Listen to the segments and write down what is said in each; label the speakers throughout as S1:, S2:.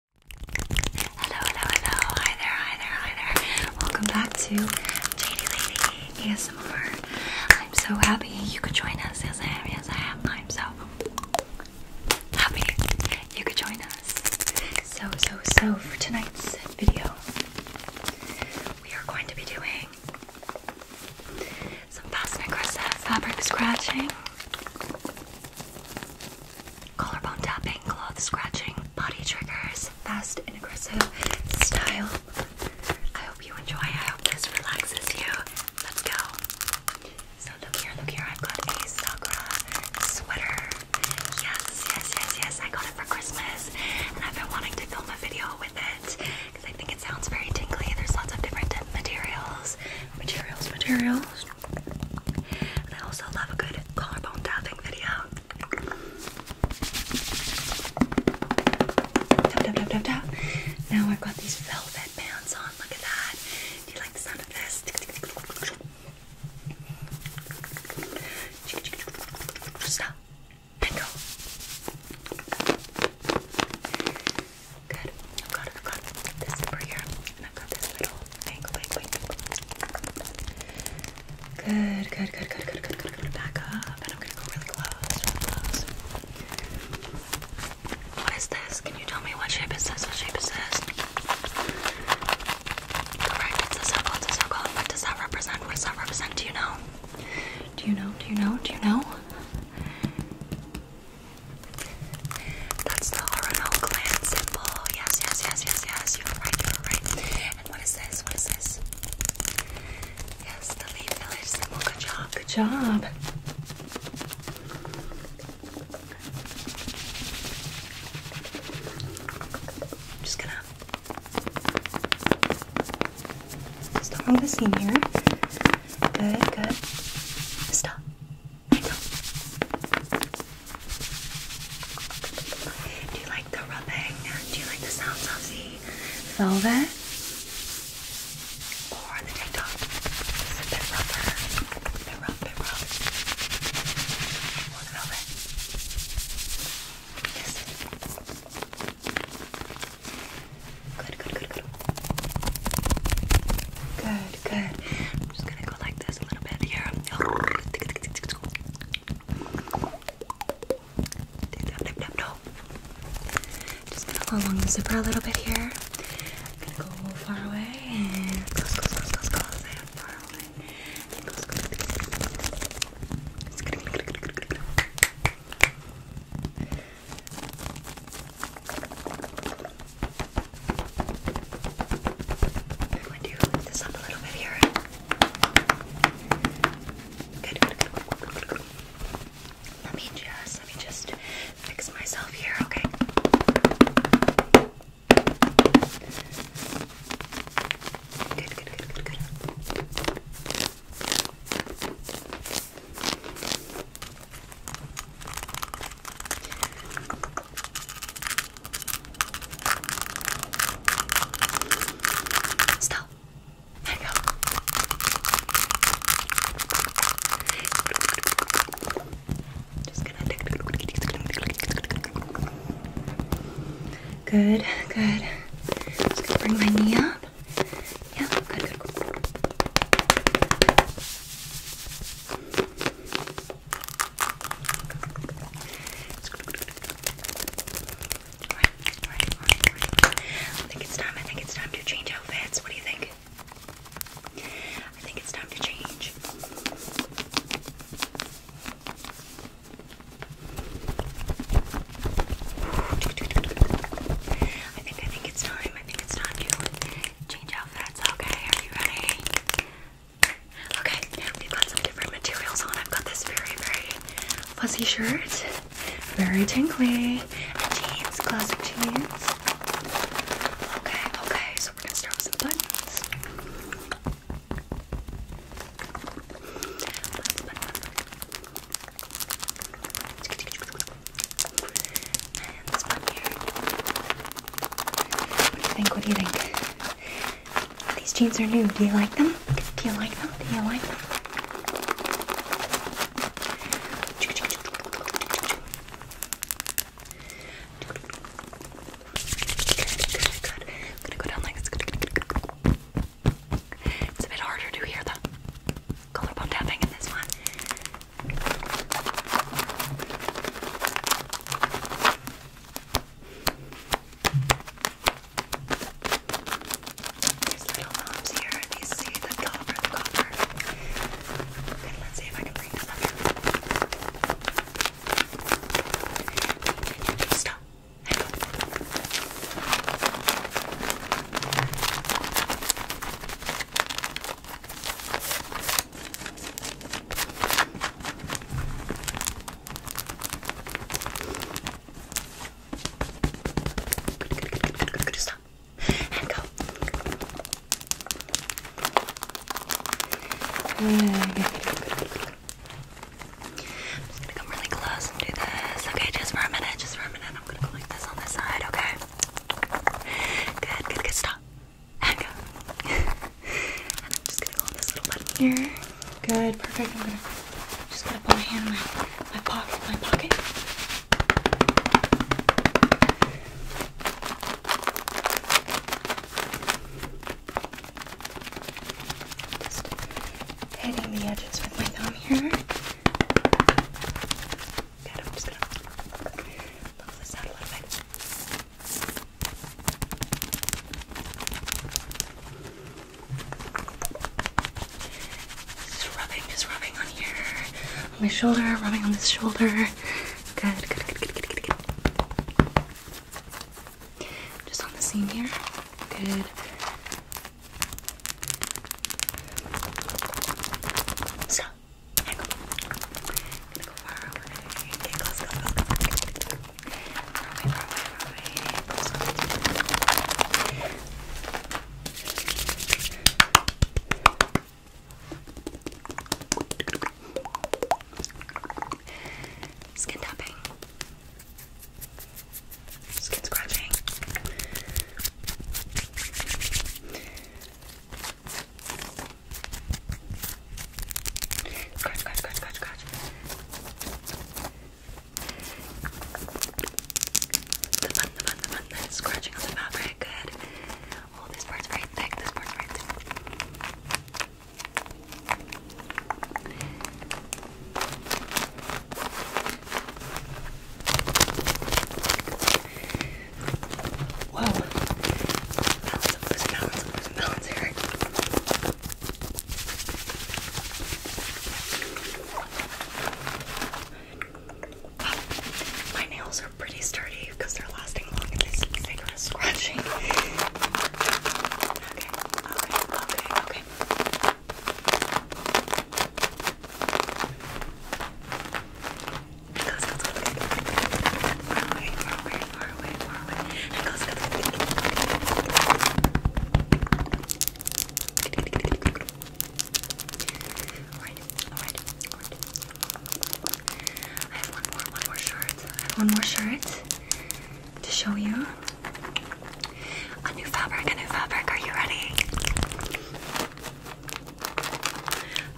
S1: Hello, hello, hello. Hi there, hi there, hi there. Welcome back to JD Lady ASMR. I'm so happy you could join us. Yes, I am. Yes, I am. I'm so happy you could join us. So, so, so, for tonight's video, we are going to be doing some fast and aggressive fabric scratching. Collarbone tapping, cloth scratching, body triggers, fast and aggressive style. I hope you enjoy. I hope this relaxes you. Let's go. So look here, look here. I've got a Sakura sweater. Yes, yes, yes, yes. I got it for Christmas, and I've been wanting to film a video with it because I think it sounds very tingly. There's lots of different materials, materials, materials. I also love a good collarbone tapping video. Now I've got these velvet pants on. Look at that. Do you like the sound of this? Stop. And go. Good. I've got, I've got this over here, I've got this little thing. Wait, wait. Good, good, good, good, good, good, good, good. Back up, and I'm gonna go really close, really close. What is this? Can you tell me what shape is this? What shape is this? Correct. It's a circle. It's a circle. What does that represent? What does that represent? Do you know? Do you know? Do you know? Do you know? That's the Orono clan symbol. Yes, yes, yes, yes, yes. You are right, you are right. And what is this? What is this? Yes, the Leaf Village symbol. Good job, good job. I'm just gonna stop on the scene here. Good, good. Stop. Do you like the rubbing? Do you like the sounds of the velvet? Or the TikTok? It's bit rubber. bit rough, bit rough. Or the Yes. Good, good, good, good. Good. Good, I'm just gonna go like this a little bit here. Just gonna go along the zipper a little bit here. go far away and close, close, close, close, close, far away. I'm going to lift this up a little bit here. Good, good, good, good, good, Let me just, let me just fix myself here, okay? Good, good, good, good, good. Stop. go. Good, good. Just gonna bring my knee up. Yeah, I think it's time, I think it's time to change outfits. What do you think? I think it's time to change. I think I think it's time. I think it's time to change outfits. Okay, are you ready? Okay, we've got some different materials on. I've got this very, very fuzzy shirt, very tingly, and jeans, classic jeans. Okay, okay, so we're gonna start with some buttons, buttons. What do you think? What do you think? These jeans are new. Do you like them? Do you like them? Do you like them? It's a bit harder to hear that collarbone tapping in this one. There's little knobs here, and you see the copper, the copper. let's see if I can bring this up. Stop. Good, good, good, good, good, good, good. Stop. And go. Good, good, good, good, good, good. I'm just gonna come really close and do this. Okay, just for a minute, just for a minute. I'm gonna go like this on this side, okay? Good, good, good. Stop. And go. and I'm just gonna go on this little button here. Good, perfect. I'm gonna just put my hand in my pocket, my pocket. Just hitting the edges with my thumb here just rubbing, just rubbing on here, on my shoulder, rubbing on this shoulder. Good, good, good, good, good, good, good. Just on the seam here. Good. So, go. far away. Okay, close, close, close, close. Far far away, Skin tapping. Skin scratching. Scratch, scratch, scratch, scratch, scratch. The button, the button, the button scratching on the fabric. Good. Oh, this part's very thick. This part's very Whoa. Balance, I'm losing balance, I'm losing balance here. Wow. My nails are pretty sturdy because they're lasting long and they stick with scratching. Okay, okay, okay, okay far away, far away, far away, far away. Alright, alright, I have one more, one more shirt. one more shirt to show you. A new fabric, a new fabric. Are you ready?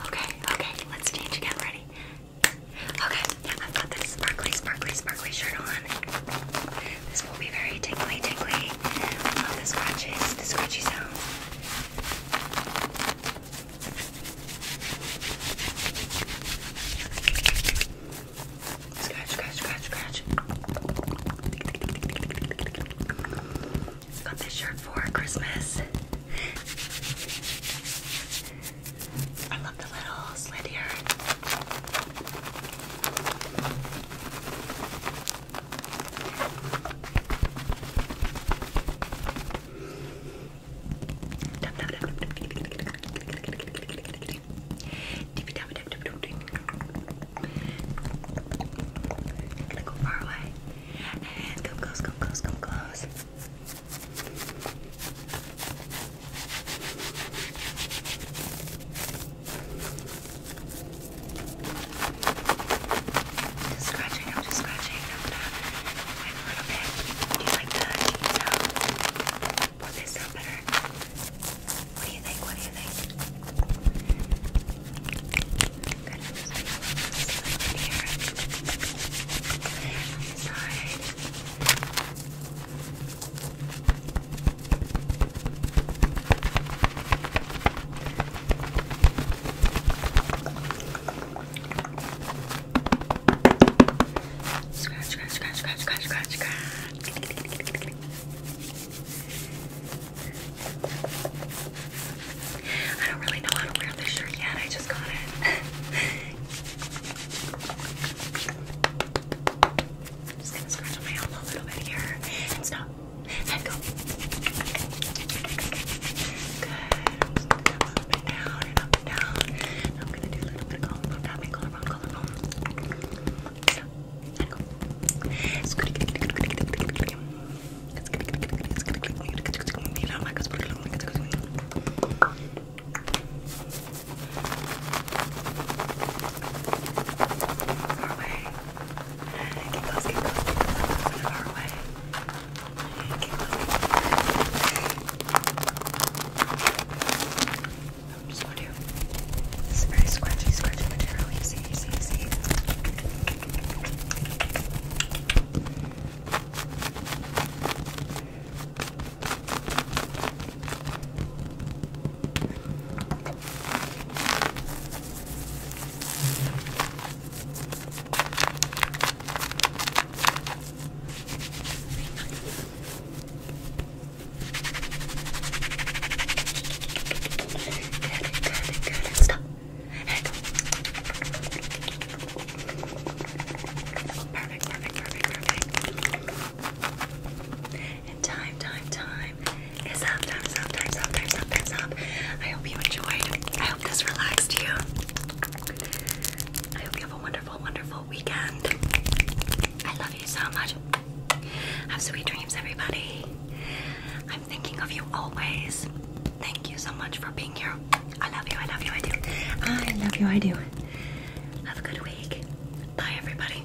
S1: Okay, okay, let's change again. Ready? Okay, yeah, I've got this sparkly, sparkly, sparkly shirt on. This will be very tingly, tingly. love the scratches, the scratchy sounds. Scratch, scratch, scratch, Got this shirt for Christmas. I love the little slit here. Like go far away. And come close, come close, come close. Just scratching, I'm just scratching. I'm gonna wait a little bit. Do you like the sound? Will they better? What do you think? What do you think? Good. here. Sorry. Scratch, scratch, scratch, scratch, scratch, scratch, scratch. I don't really know how to wear this shirt yet, I just got it. I'm just gonna scratch on my elbow a little bit here and stop and go. Good. I'm just gonna go up and down and up and down. And I'm gonna do a little bit of combo tapping color, wrong color. So, there you go. Far away. Get close, get close, get close. Far away. Get close, get close. I'm just going to. This is very scratchy, scratchy material. You see, you see, you see. Stop. perfect, perfect, perfect, perfect. And time, time, time is up, time's up, time's up, time's up, time's up. I hope you enjoyed. I hope this relaxed you have a wonderful, wonderful weekend. I love you so much. Have sweet dreams, everybody. I'm thinking of you always. Thank you so much for being here. I love you, I love you, I do. I love you, I do. Have a good week. Bye, everybody.